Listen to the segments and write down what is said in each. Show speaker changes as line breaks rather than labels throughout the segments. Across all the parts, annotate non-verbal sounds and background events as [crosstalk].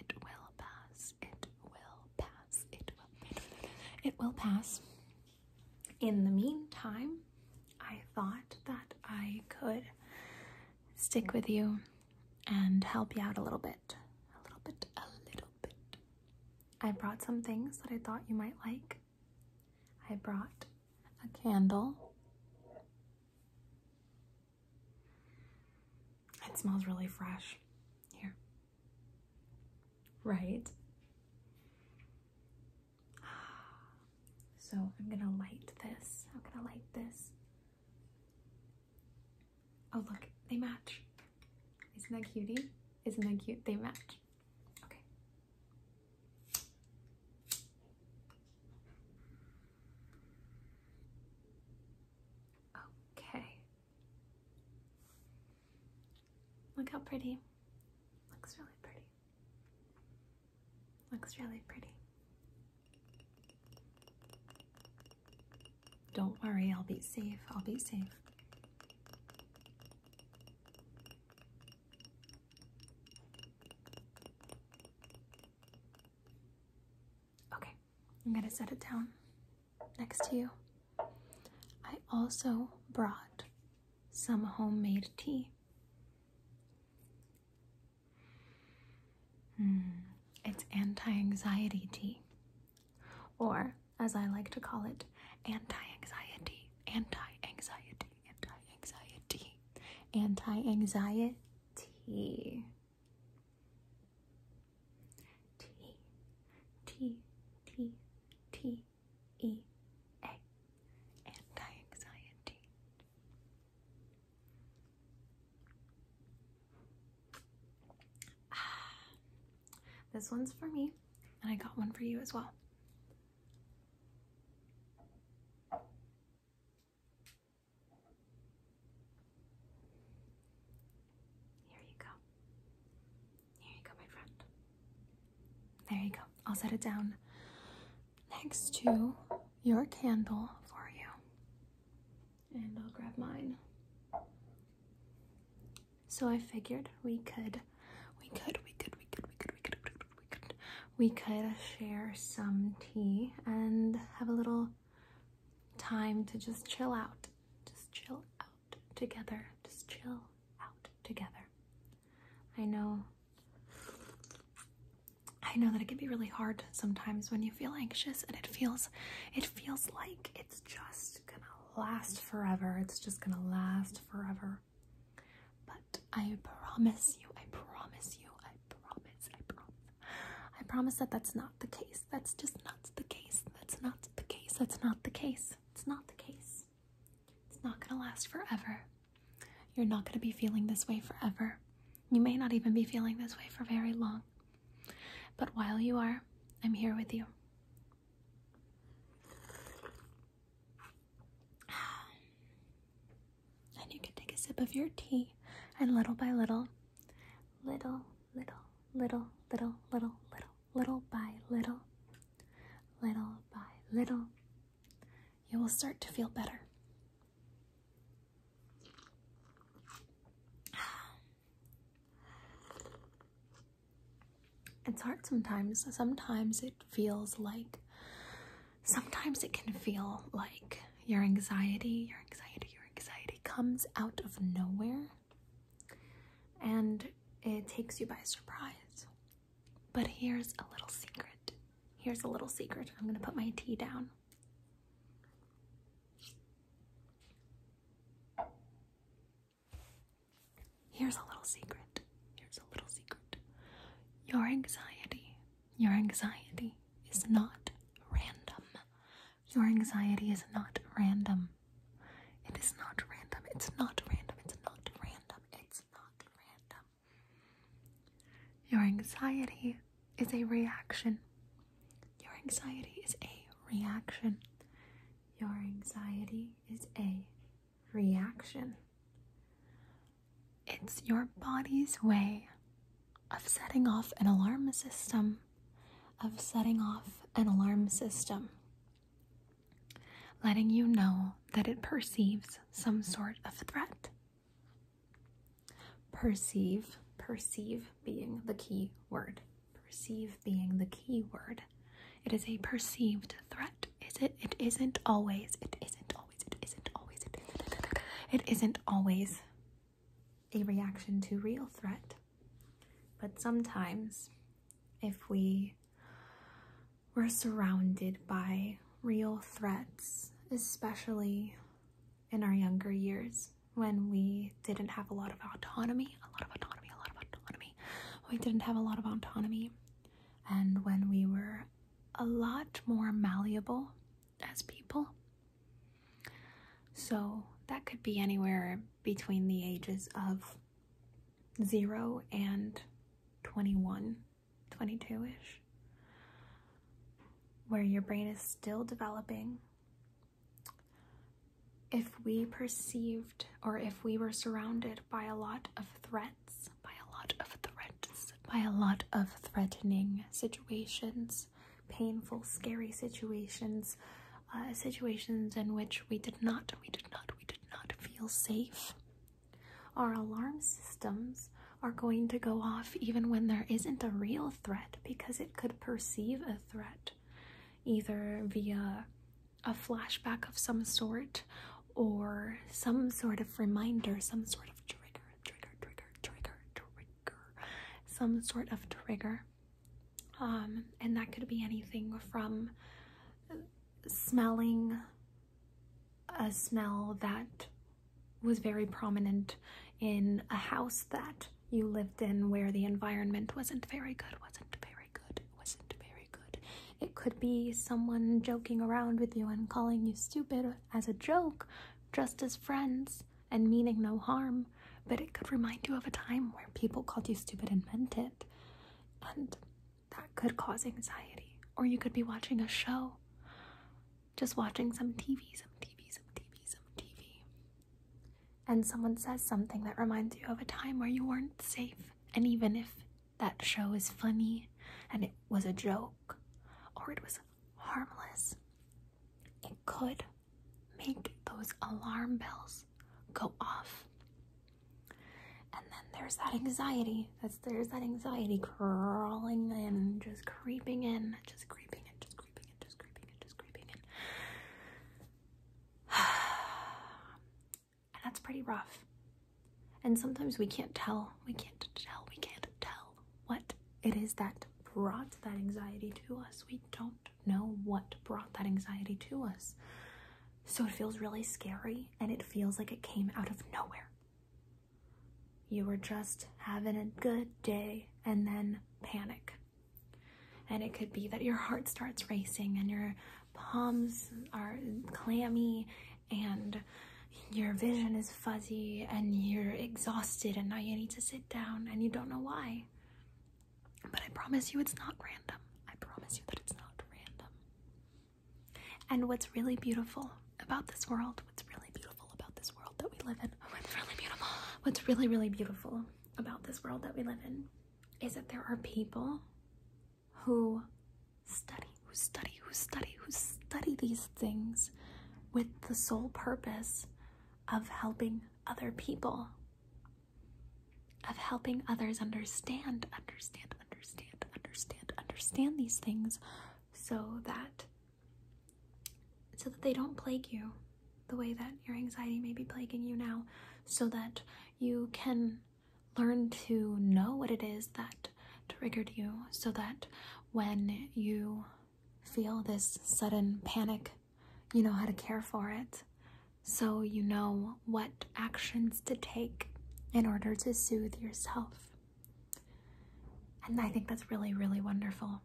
It will pass. It will pass. It will. It will pass. In the meantime, I thought that I could stick with you and help you out a little bit. A little bit. A little bit. I brought some things that I thought you might like. I brought a candle. It smells really fresh here. Right? So I'm gonna light this. I'm gonna light this. Oh look, they match. Isn't that cutie? Isn't that cute? They match. Okay. Okay. Look how pretty. Looks really pretty. Looks really pretty. Don't worry, I'll be safe. I'll be safe. Okay, I'm gonna set it down next to you. I also brought some homemade tea. Hmm, it's anti anxiety tea, or as I like to call it, anti anxiety, anti anxiety, anti anxiety, anti anxiety T. T. T. T. T. E. A. Anti-anxiety. Ah, this one's for me, and I got one for you as well. Here you go. Here you go, my friend. There you go. I'll set it down next to your candle for you. And I'll grab mine. So I figured we could, we could, we could, we could, we could, we could, we could, we could we could share some tea and have a little time to just chill out. Just chill out together. Just chill out together. I know I know that it can be really hard sometimes when you feel anxious and it feels it feels like it's just gonna last forever. It's just gonna last forever. But I promise you, I promise you, I promise, I promise. I promise that that's not the case. That's just not the case. That's not the case. That's not the case. It's not the case. It's not gonna last forever. You're not gonna be feeling this way forever. You may not even be feeling this way for very long. But while you are, I'm here with you. Um, and you can take a sip of your tea, and little by little, little, little, little, little, little, little, little by little, little by little, you will start to feel better. [sighs] It's hard sometimes. Sometimes it feels like sometimes it can feel like your anxiety, your anxiety, your anxiety comes out of nowhere and it takes you by surprise. But here's a little secret. Here's a little secret. I'm going to put my tea down. Here's a little secret. Here's a little secret. Your anxiety, your anxiety is not random. Your anxiety is not random. It is not random. It's not random. It's not random. It's not random. Your anxiety is a reaction. Your anxiety is a reaction. Your anxiety is a reaction. It's your body's way of setting off an alarm system, of setting off an alarm system, letting you know that it perceives some sort of threat. Perceive, perceive being the key word, perceive being the key word. It is a perceived threat is it it isn't always isn't always it isn't always it, it isn't always a reaction to real threat but sometimes if we were surrounded by real threats especially in our younger years when we didn't have a lot of autonomy a lot of autonomy a lot of autonomy we didn't have a lot of autonomy and when we were a lot more malleable as people. So that could be anywhere between the ages of 0 and 21, 22 ish, where your brain is still developing. If we perceived or if we were surrounded by a lot of threat by a lot of threats, by a lot of threatening situations, painful, scary situations, uh, situations in which we did not, we did not, we did not feel safe. Our alarm systems are going to go off even when there isn't a real threat because it could perceive a threat either via a flashback of some sort or some sort of reminder, some sort of trigger, trigger, trigger, trigger, trigger, some sort of trigger. Um, and that could be anything from smelling a smell that was very prominent in a house that you lived in where the environment wasn't very good, wasn't very good, wasn't very good. It could be someone joking around with you and calling you stupid as a joke, just as friends and meaning no harm, but it could remind you of a time where people called you stupid and meant it. And that could cause anxiety. Or you could be watching a show, just watching some TV, some TV, some TV, some TV. And someone says something that reminds you of a time where you weren't safe. And even if that show is funny and it was a joke or it was harmless, it could make those alarm bells go off. And then there's that anxiety. That's there's that anxiety crawling in, just creeping in, just creeping in, just creeping in, just creeping in, just creeping in. [sighs] [sighs] And that's pretty rough. And sometimes we can't tell, we can't tell, we can't tell what it is that brought that anxiety to us. We don't know what brought that anxiety to us. So it feels really scary and it feels like it came out of nowhere. You were just having a good day and then panic. And it could be that your heart starts racing and your palms are clammy and your vision is fuzzy and you're exhausted and now you need to sit down and you don't know why. But I promise you it's not random. I promise you that it's not random. And what's really beautiful about this world, what's really beautiful about this world that we live in, oh, it's really beautiful. What's really, really beautiful about this world that we live in is that there are people who study, who study, who study, who study these things with the sole purpose of helping other people, of helping others understand, understand, understand, understand, understand these things so that so that they don't plague you the way that your anxiety may be plaguing you now so that you can learn to know what it is that triggered you so that when you feel this sudden panic, you know how to care for it. So you know what actions to take in order to soothe yourself. And I think that's really, really wonderful.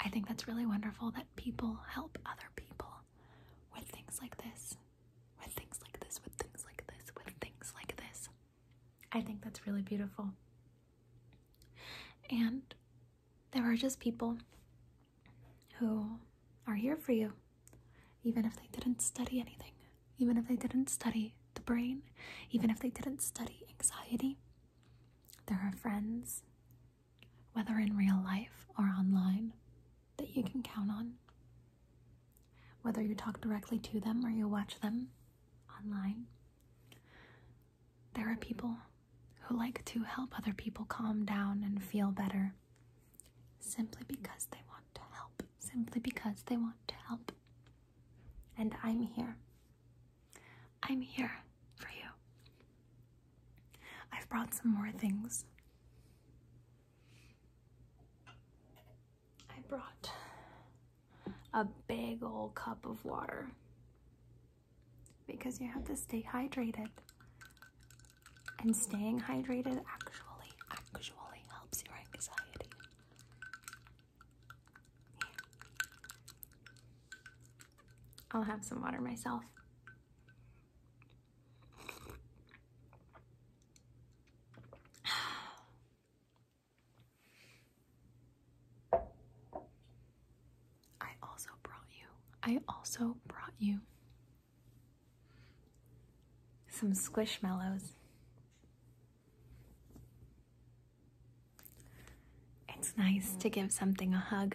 I think that's really wonderful that people help other people with things like this, with things like this, with things like this, with things like this. I think that's really beautiful. And there are just people who are here for you, even if they didn't study anything, even if they didn't study the brain, even if they didn't study anxiety. There are friends whether in real life or online, that you can count on. Whether you talk directly to them or you watch them online, there are people who like to help other people calm down and feel better simply because they want to help, simply because they want to help. And I'm here. I'm here for you. I've brought some more things. I brought a big old cup of water because you have to stay hydrated. And staying hydrated actually, actually helps your anxiety. I'll have some water myself. I also brought you, I also brought you some squishmallows. It's nice to give something a hug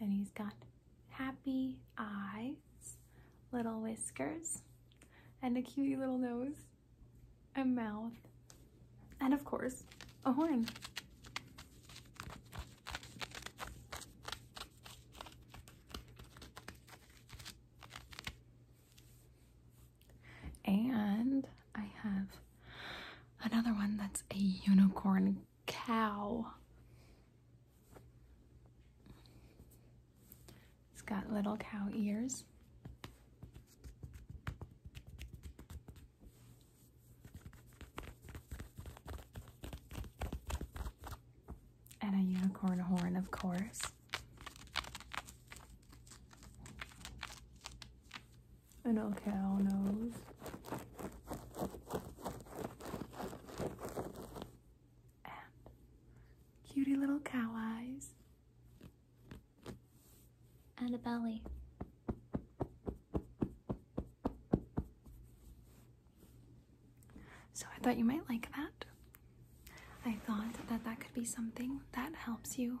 And he's got happy eyes, little whiskers, and a cutie little nose, a mouth, and of course, a horn. And I have Another one that's a unicorn cow. It's got little cow ears. And a unicorn horn, of course an cow nose. And cutie little cow eyes. And a belly. So I thought you might like that. I thought that that could be something that helps you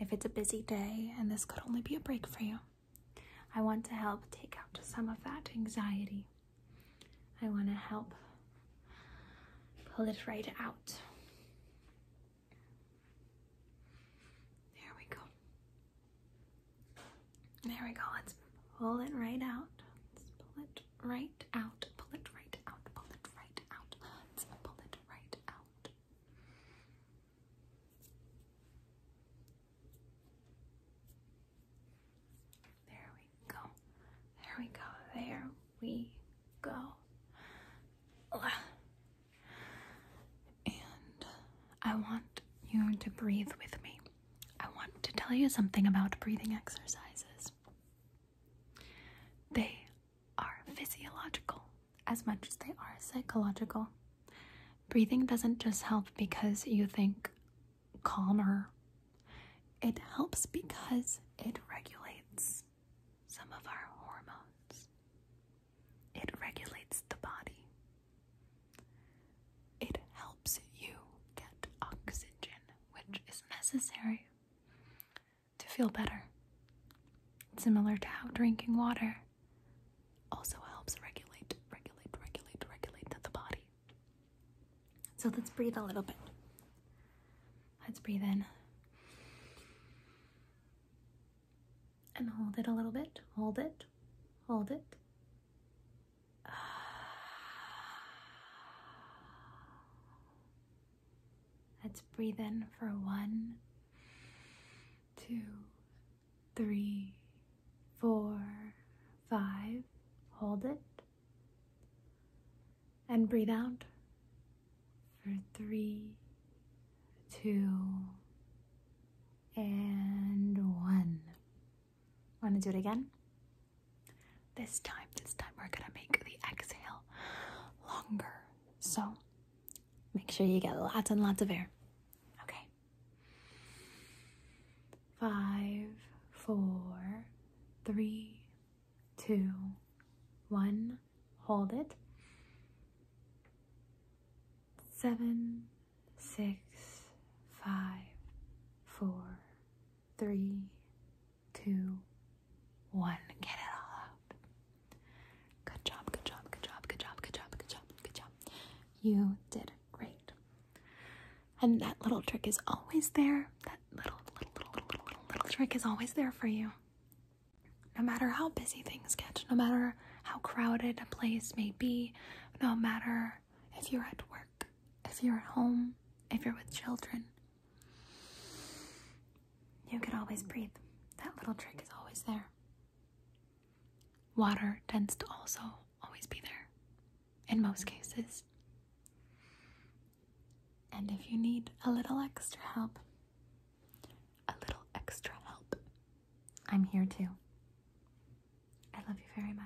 if it's a busy day and this could only be a break for you. I want to help take out some of that anxiety. I want to help pull it right out. There we go. There we go. Let's pull it right out. Let's pull it right out. Pull it right out. Pull it right out. Let's pull it right out. There we go. There we go. There we go. And I want you to breathe with me. I want to tell you something about breathing exercises. They are physiological as much as they are psychological. Breathing doesn't just help because you think calmer, it helps because it regulates some of our hormones, it regulates the body, it helps you get oxygen, which is necessary to feel better. Similar to how drinking water also helps regulate, regulate, regulate, regulate the body. So let's breathe a little bit. Let's breathe in. And hold it a little bit. Hold it. Hold it. Let's breathe in for one, two, three, four, five. Hold it. And breathe out for three, two, and one. Want to do it again? This time, this time we're going to make the exhale longer. So make sure you get lots and lots of air. Okay. Five, four, three, two, one. Hold it. Seven, six, five, four, three, two, one. Get it all out. Good job, good job, good job, good job, good job, good job, good job. You did great. And that little trick is always there. That little, little, little, little, little, little, trick is always there for you. No matter how busy things get, no matter how crowded a place may be, no matter if you're at work, if you're at home, if you're with children, you can always breathe. That little trick is always there. Water tends to also always be there in most cases. And if you need a little extra help, a little extra help, I'm here too. I love you very much.